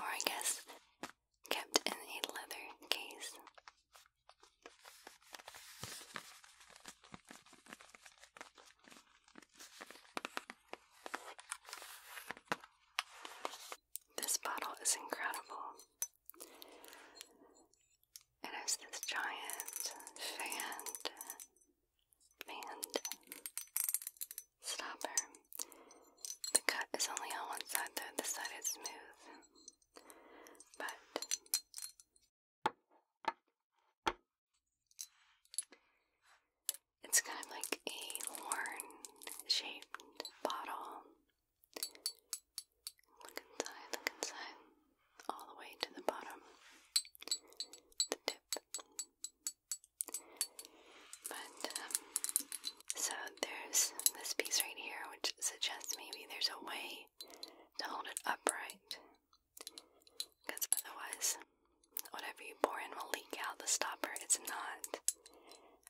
Or I guess kept in a leather case. This bottle is incredible. It has this giant fanned, fanned stopper. The cut is only on one side though, this side is smooth. But it's kind of like a horn shaped bottle. Look inside, look inside all the way to the bottom, the tip. But, um, so there's this piece right here which suggests maybe there's a way to hold it upright. Because otherwise, whatever you pour in will leak out the stopper. It's not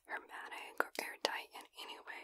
hermetic or airtight in any way.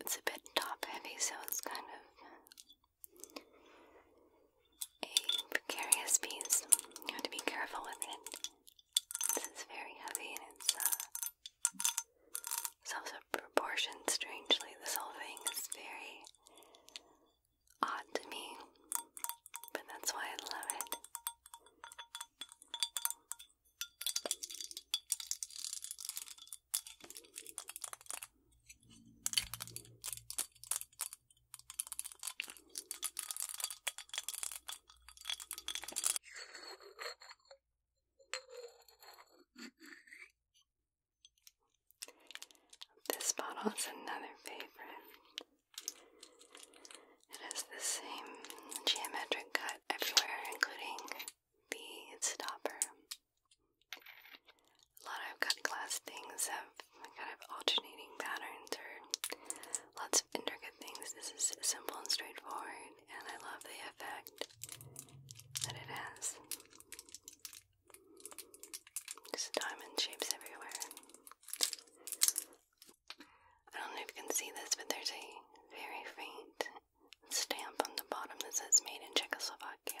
It's a bit top heavy, so it's kind of a precarious piece. You have to be careful with it. This is very heavy and it's uh, it's also strangely. This whole thing is very odd to me, but that's why I love it. This bottle is another favorite. It has the same geometric cut everywhere, including the stopper. A lot of cut glass things have kind of alternating patterns or lots of intricate things. This is simple and straightforward, and I love the effect that it has. Just diamond shapes everywhere. I don't know if you can see this, but there's a very faint stamp on the bottom that says made in Czechoslovakia.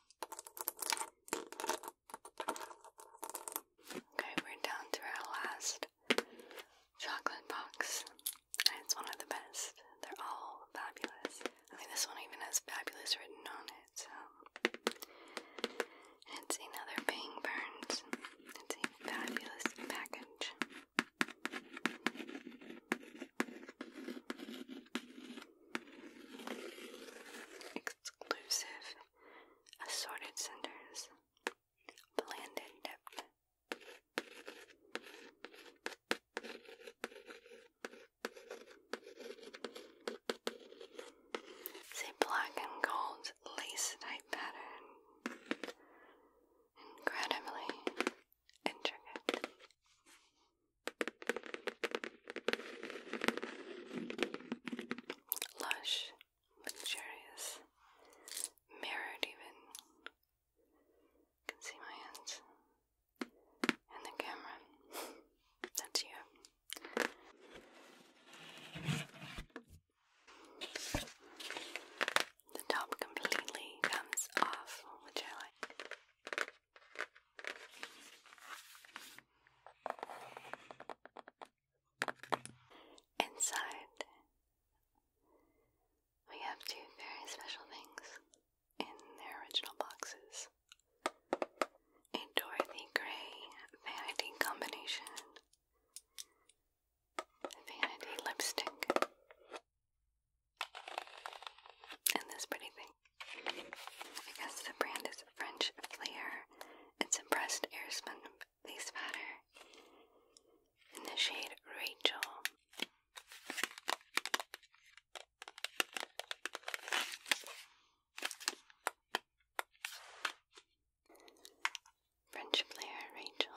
Okay, we're down to our last chocolate box. And it's one of the best. They're all fabulous. I think this one even has fabulous written on it, so it's another Bang Burns. It's a fabulous package. Exclusive assorted centers, blended depth. It's black and gold lace type pattern, incredibly intricate. Lush, luxurious, mirrored even. can see my hands and the camera. That's you. The top completely comes off, which I like. Inside, we have two very special things in their original boxes a Dorothy Gray vanity combination, vanity lipstick, and this pretty thing. I guess the brand is French Flair. It's a pressed airspun face powder in the shade Rachel. French Flair Rachel.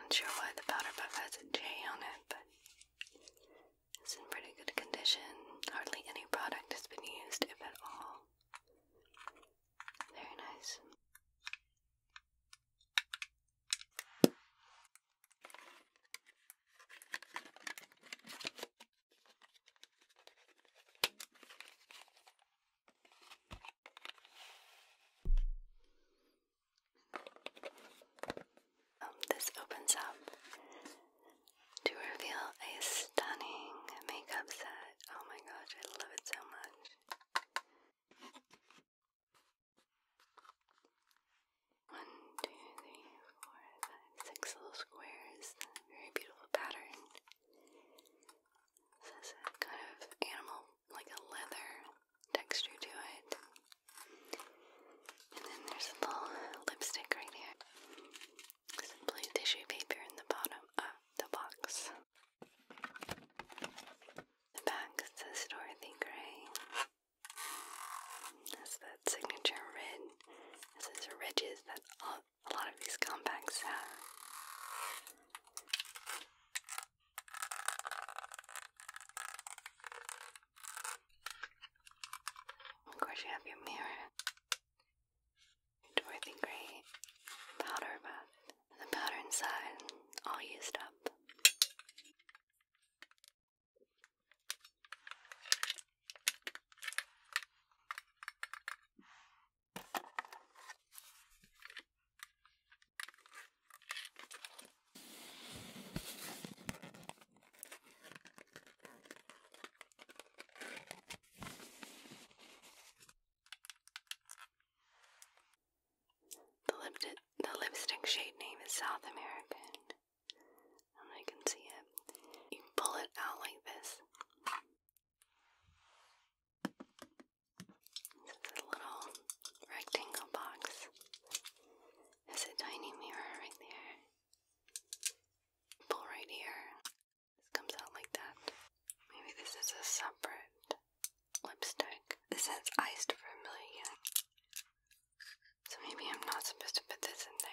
Not sure why the powder puff has a J on it, but it's in pretty good condition. Hardly any product has been used, if at all. Very nice. Um, this opens up to reveal a stunning makeup set. Oh my gosh, I love it so much. One, two, three, four, five, six little squares. Very beautiful pattern. kind of animal like a leather texture to it. And then there's a little lipstick right here. Some blue tissue paper in the bottom of the box. The back says Dorothy Gray. That's that signature red. This is ridges that a lot of these compacts have. Of course, you have your mirror. Dorothy Gray powder bath. The powder inside, all used up. The, lip the lipstick shade name is South American. I can see it. You pull it out like this. It's a little rectangle box. There's a tiny mirror right there. Pull right here. This comes out like that. Maybe this is a separate lipstick. This says iced vermilion. So maybe I'm not supposed to put this in there.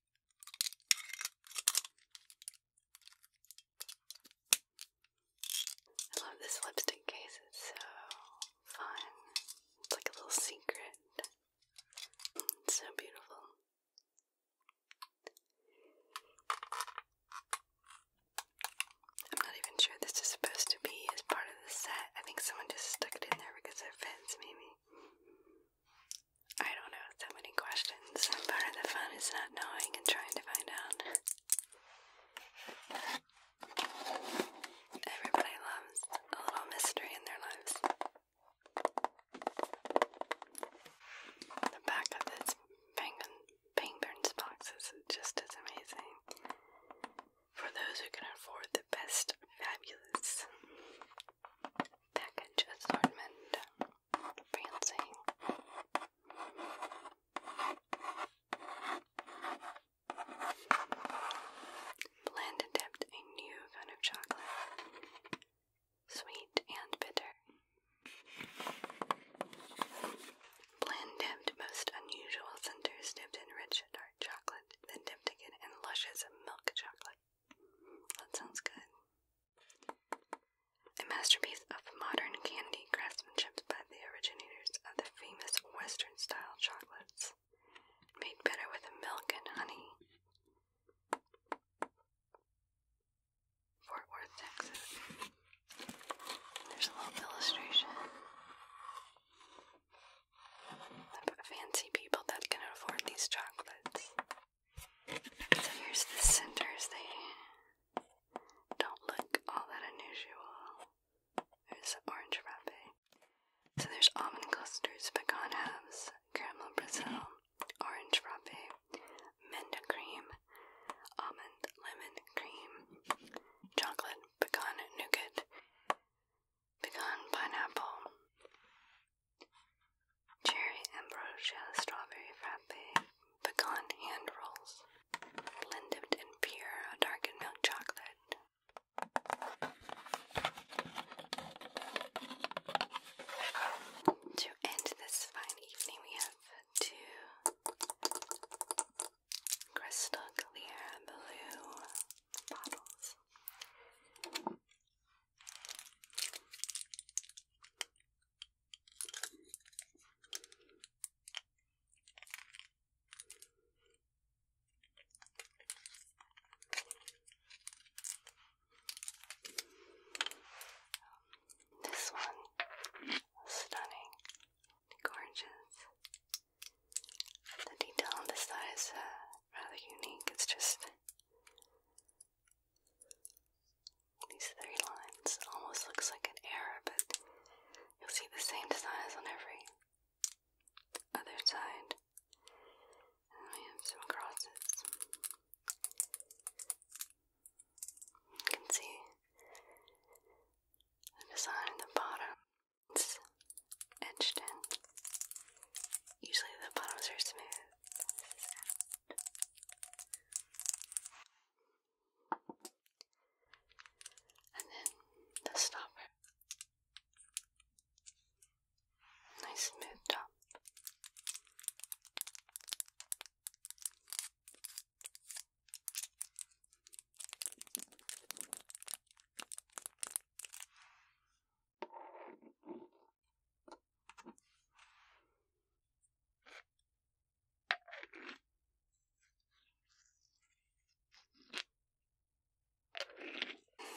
I love this lipstick case, it's so fun. It's like a little secret. It's so beautiful. I'm not even sure this is supposed to be as part of the set. I think someone just stuck it in there because it fits, maybe. I don't know so many questions. Part of the fun is not knowing and trying to find out. Everybody loves a little mystery in their lives. The back of this Penguins box is just as amazing. For those who can afford the best, fabulous Package assortment prancing. Blend dipped a new kind of chocolate, sweet and bitter. Blend dipped most unusual centers dipped in rich dark chocolate, then dipped again in luscious milk chocolate. That sounds good. A masterpiece of modern candy craftsmanship by the originators of the famous Western style chocolates, made better with milk and honey. Fort Worth, Texas. There's a little illustration of fancy people that can afford these chocolates. So here's the centers, they don't look all that unusual. There's orange frappe. So there's almond clusters, pecan halves, caramel brazil, orange frappe, menta cream, almond lemon cream, chocolate, pecan nougat, pecan pineapple, cherry ambrosia strawberry frappe, pecan hand rolls, blended and pure darkened milk chocolate. To end this fine evening, we have two crystal clear blue bottles. This one stunning, gorgeous. The detail on this side is uh, rather unique. It's just these three lines almost looks like an error, but you'll see the same designs on every other side. we have some crosses. You can see the design in the bottom. It's etched in. Usually the bottoms are smooth. And then the stopper. Nice smooth top.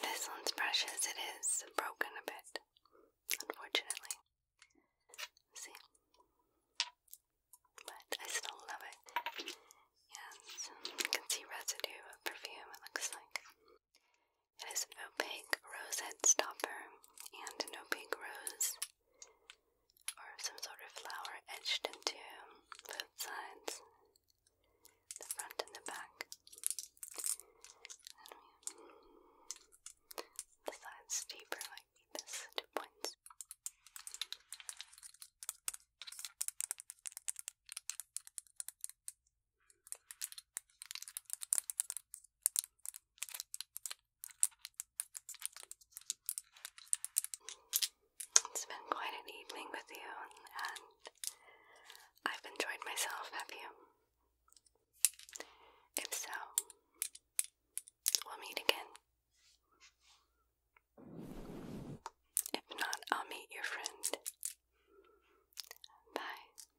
This one's precious, it is broken a bit, unfortunately. See? But I still love it. Yes, you can see residue of perfume, it looks like. It is an opaque rose head stopper and an opaque rose or some sort of flower etched into both sides, the front and the back. the sides deeper like this, points. It's been quite an evening with you, and I've enjoyed myself, have you? If so, we'll meet again. If not, I'll meet your friend. Bye.